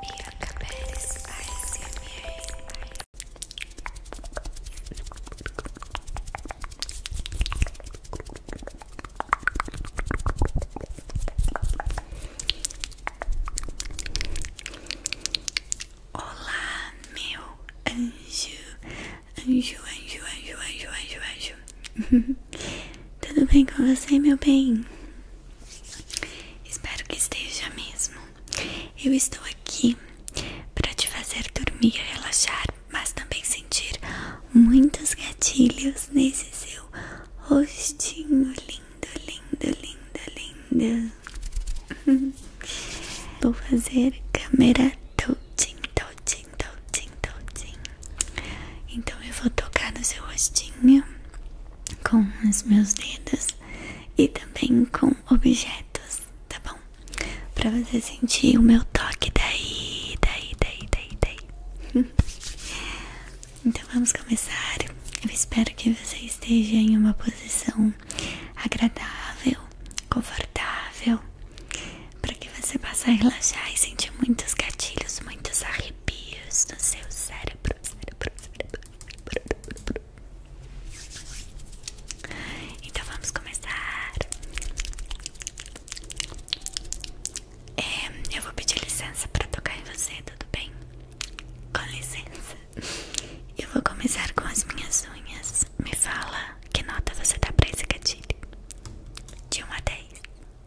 Bianca Pérez ASMR Olá, meu anjo, anjo, anjo, anjo, anjo, anjo, anjo. Tudo bem com você, meu bem? Espero que esteja mesmo. Eu estou aqui para te fazer dormir, relaxar, mas também sentir muitos gatilhos nesse seu rostinho lindo, lindo, lindo, lindo. Vou fazer câmera touching, touching, touching, touching. Então eu vou tocar no seu rostinho com os meus dedos e também com objetos, tá bom? Pra você sentir o meu toque daí, daí, daí, daí, daí. então vamos começar. Eu espero que você esteja em uma posição agradável, confortável, para que você possa relaxar e sentir muitos gatilhos, muitos arrepios no seu cérebro, cérebro, cérebro. Então vamos começar. É, eu vou pedir licença para tocar em você, tudo bem? Com licença. Eu vou começar com as minhas unhas. Me fala que nota você dá para esse gatilho? De 1 a 10.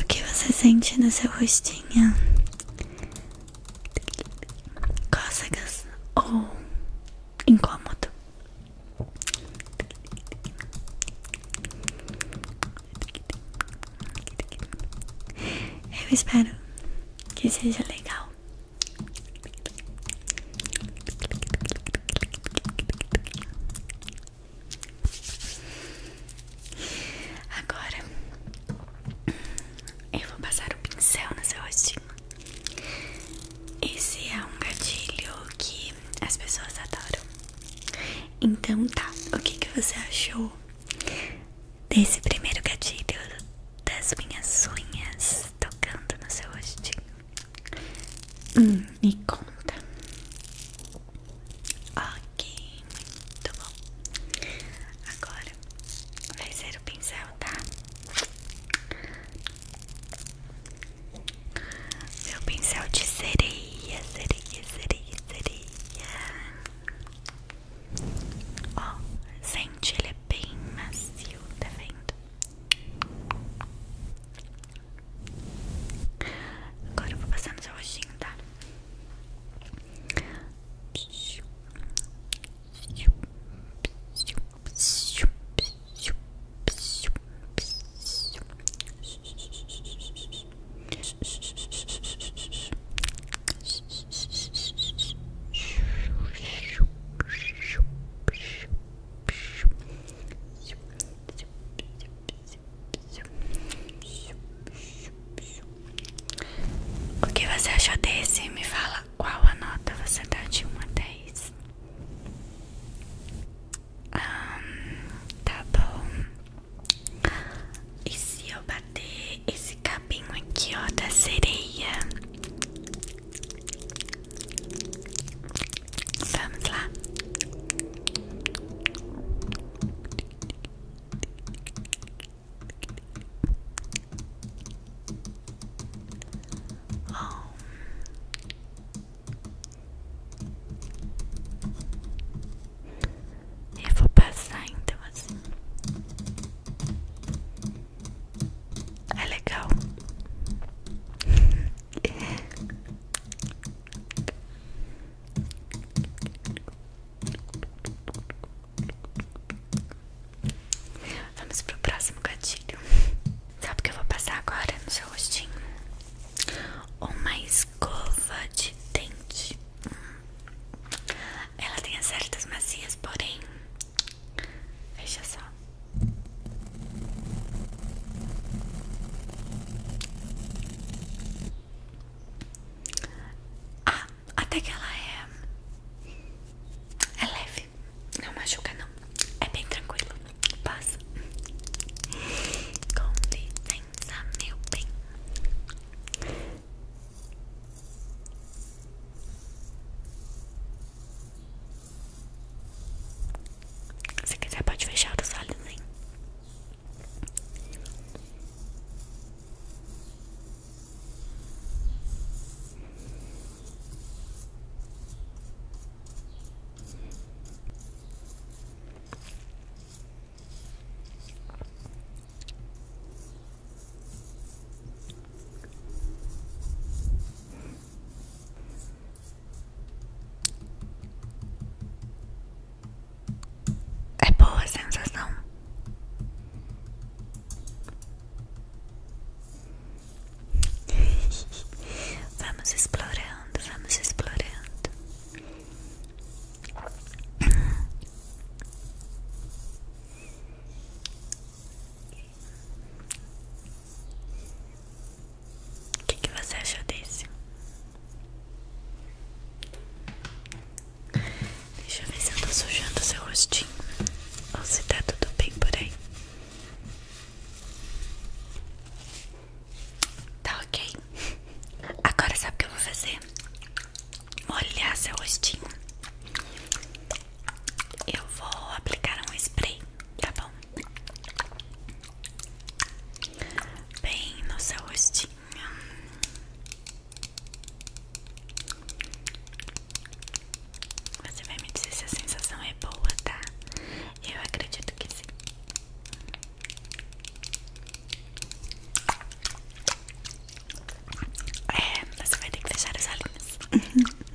O que você sente no seu rostinho? Cócegas ou incômodo? Eu espero que seja legal. Agora eu vou passar o pincel no seu rostinha. Esse é um gatilho que as pessoas adoram. Então tá, o que, que você achou desse primeiro gatilho das minhas unhas tocando no seu rostinho? Hum, me conta. Ok, muito bom. Agora vai ser o pincel, tá? Meu pincel de sereia, sereia, sereia, sereia. Ó, sente, ele é bem macio, tá vendo? Agora vou passar no seu rostinho, tá? O que você achou desse? Me fala qual a nota você dá de 1 a 10. Um, tá bom. E se eu bater esse cabinho aqui, ó, da sereia? Vamos lá. Eu vou passar então assim. É legal. Vamos pro próximo gatilho. Sabe o que eu vou passar agora no seu rostinho? Uma escova de dente. Ela tem as certas macias, porém. Veja só. Ah, até que ela é. É leve. Não machuca, não. É bem tranquilo. Passa. Com licença, meu bem. Se quiser pode fechar os olhos, hein? É boa a sensação. vamos explorando, vamos explorando. O que, você achou desse? Deixa eu ver se eu tô sujando seu rostinho ou se tá tudo bem por aí. Tá ok. Agora sabe o que eu vou fazer? Molhar seu rostinho. Eu vou aplicar um spray, tá bom? bem no seu Você vai me dizer se a sensação é boa, tá? Eu acredito que sim. É, você vai ter que fechar as olhinhos.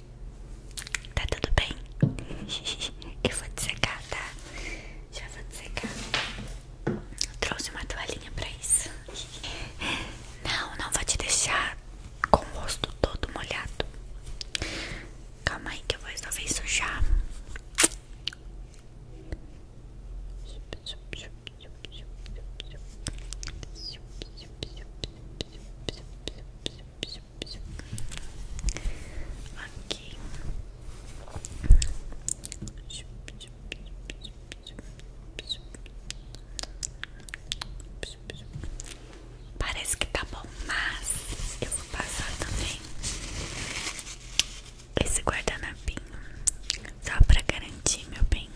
Tá tudo bem? Eu vou te secar, tá? Já vou te secar. trouxe uma toalhinha pra isso. Não, não vou te deixar com o rosto todo molhado. Calma aí que eu vou resolver isso já. Aqui Parece que tá bom, mas eu vou passar também esse guardanapinho só pra garantir, meu bem.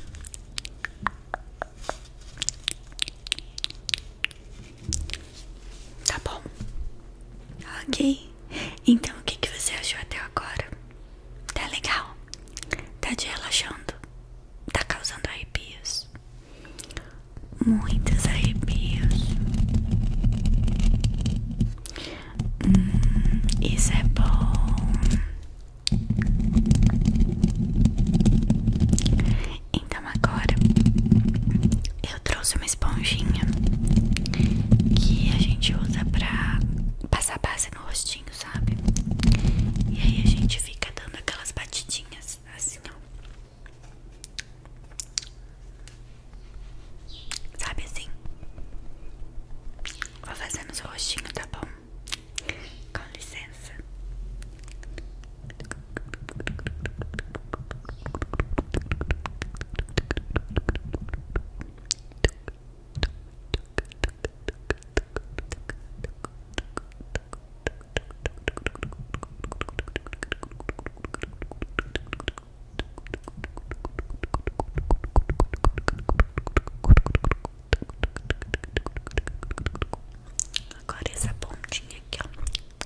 Tá bom. Ok. Então o que, que você achou até agora? Tá legal? Tá te relaxando? Tá causando arrepios? Muitos arrepios. Hum, isso é bom. Então agora eu trouxe uma esponjinha que a gente usa pra passar base no rostinho, sabe? E aí a gente fica dando aquelas batidinhas assim, ó. Sabe assim? Vou fazer no seu rostinho, tá bom? Com licença. Agora essa pontinha aqui, ó.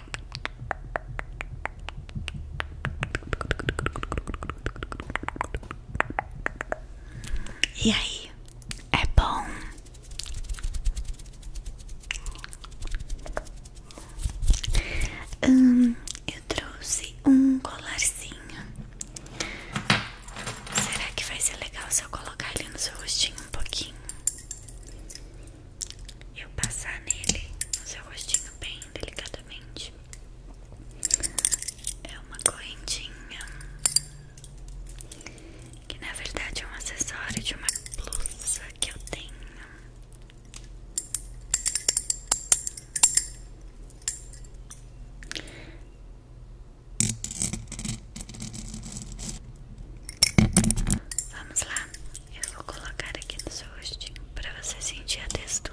E aí, é bom? Hum, eu trouxe um colarzinho. Será que vai ser legal se eu colocar ele no seu rostinho um pouquinho? eu passar nele no seu rostinho bem delicadamente. É uma correntinha que na verdade é um acessório de uma blusa que eu tenho. Vamos lá, eu vou colocar aqui no seu rostinho para você sentir a textura.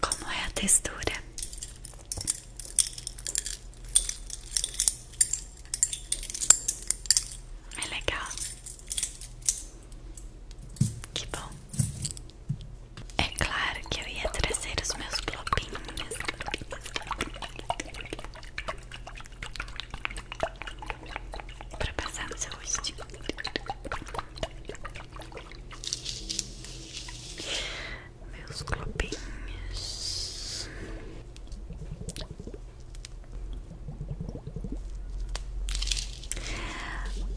Como é a textura? É legal. Que bom. É claro que eu ia trazer os meus globinhos. Pra passar no seu rosto Meus globinhos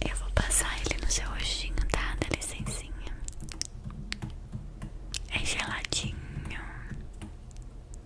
Eu vou passar ele no seu rostinho, tá? Dá licencinha É geladinho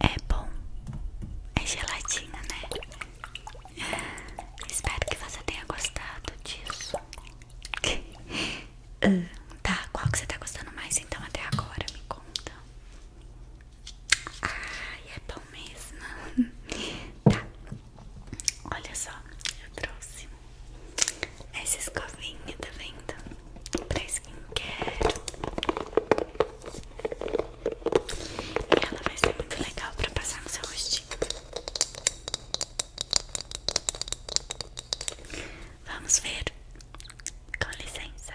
É bom. É gelatina, né? Espero que você tenha gostado disso. Ah, tá, qual que você tá gostando mais então até agora? Me conta. Ai, é bom mesmo. tá. Olha só, eu trouxe essa escovinha, tá vendo? pra skincare. E ela vai ser muito legal pra passar no seu rostinho. Vamos ver. Com licença.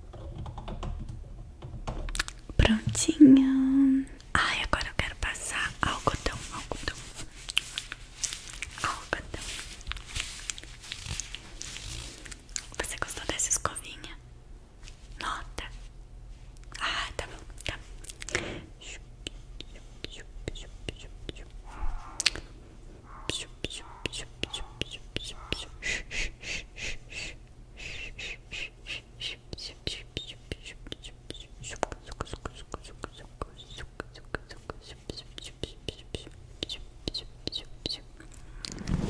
Prontinha. Ai, agora eu quero passar algodão, algodão. Algodão. Você gostou dessa escovinha? Nota. Ah, tá bom, tá.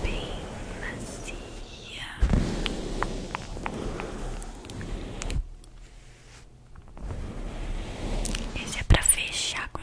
Bem macia. Esse é pra fechar com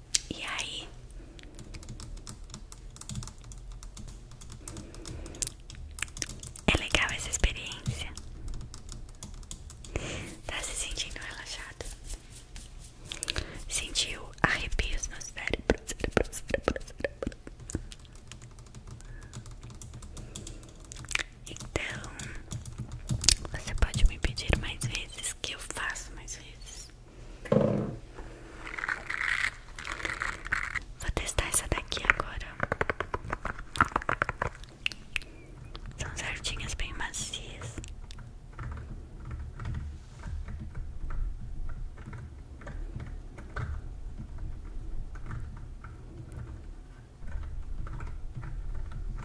E aí, é legal essa experiência? Tá se sentindo relaxado? Sentiu arrepios nos cérebro? cérebro, cérebro, cérebro. Então, você pode me pedir mais vezes que eu faço mais vezes. Vou testar essa daqui agora. São certinhas bem macias.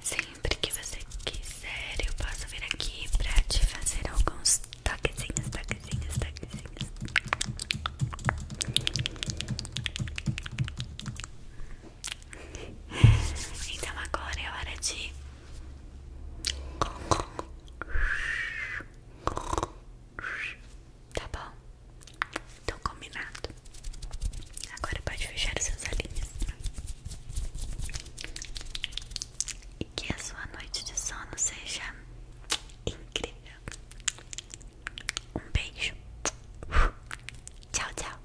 Sempre que você quiser, eu posso vir aqui pra te fazer alguns toquezinhos, toquezinhos, toquezinhos. Então agora é hora de Tá bom? Então combinado Agora pode fechar os seus olhinhos. E que a sua noite de sono seja incrível. Um beijo. Tchau, tchau.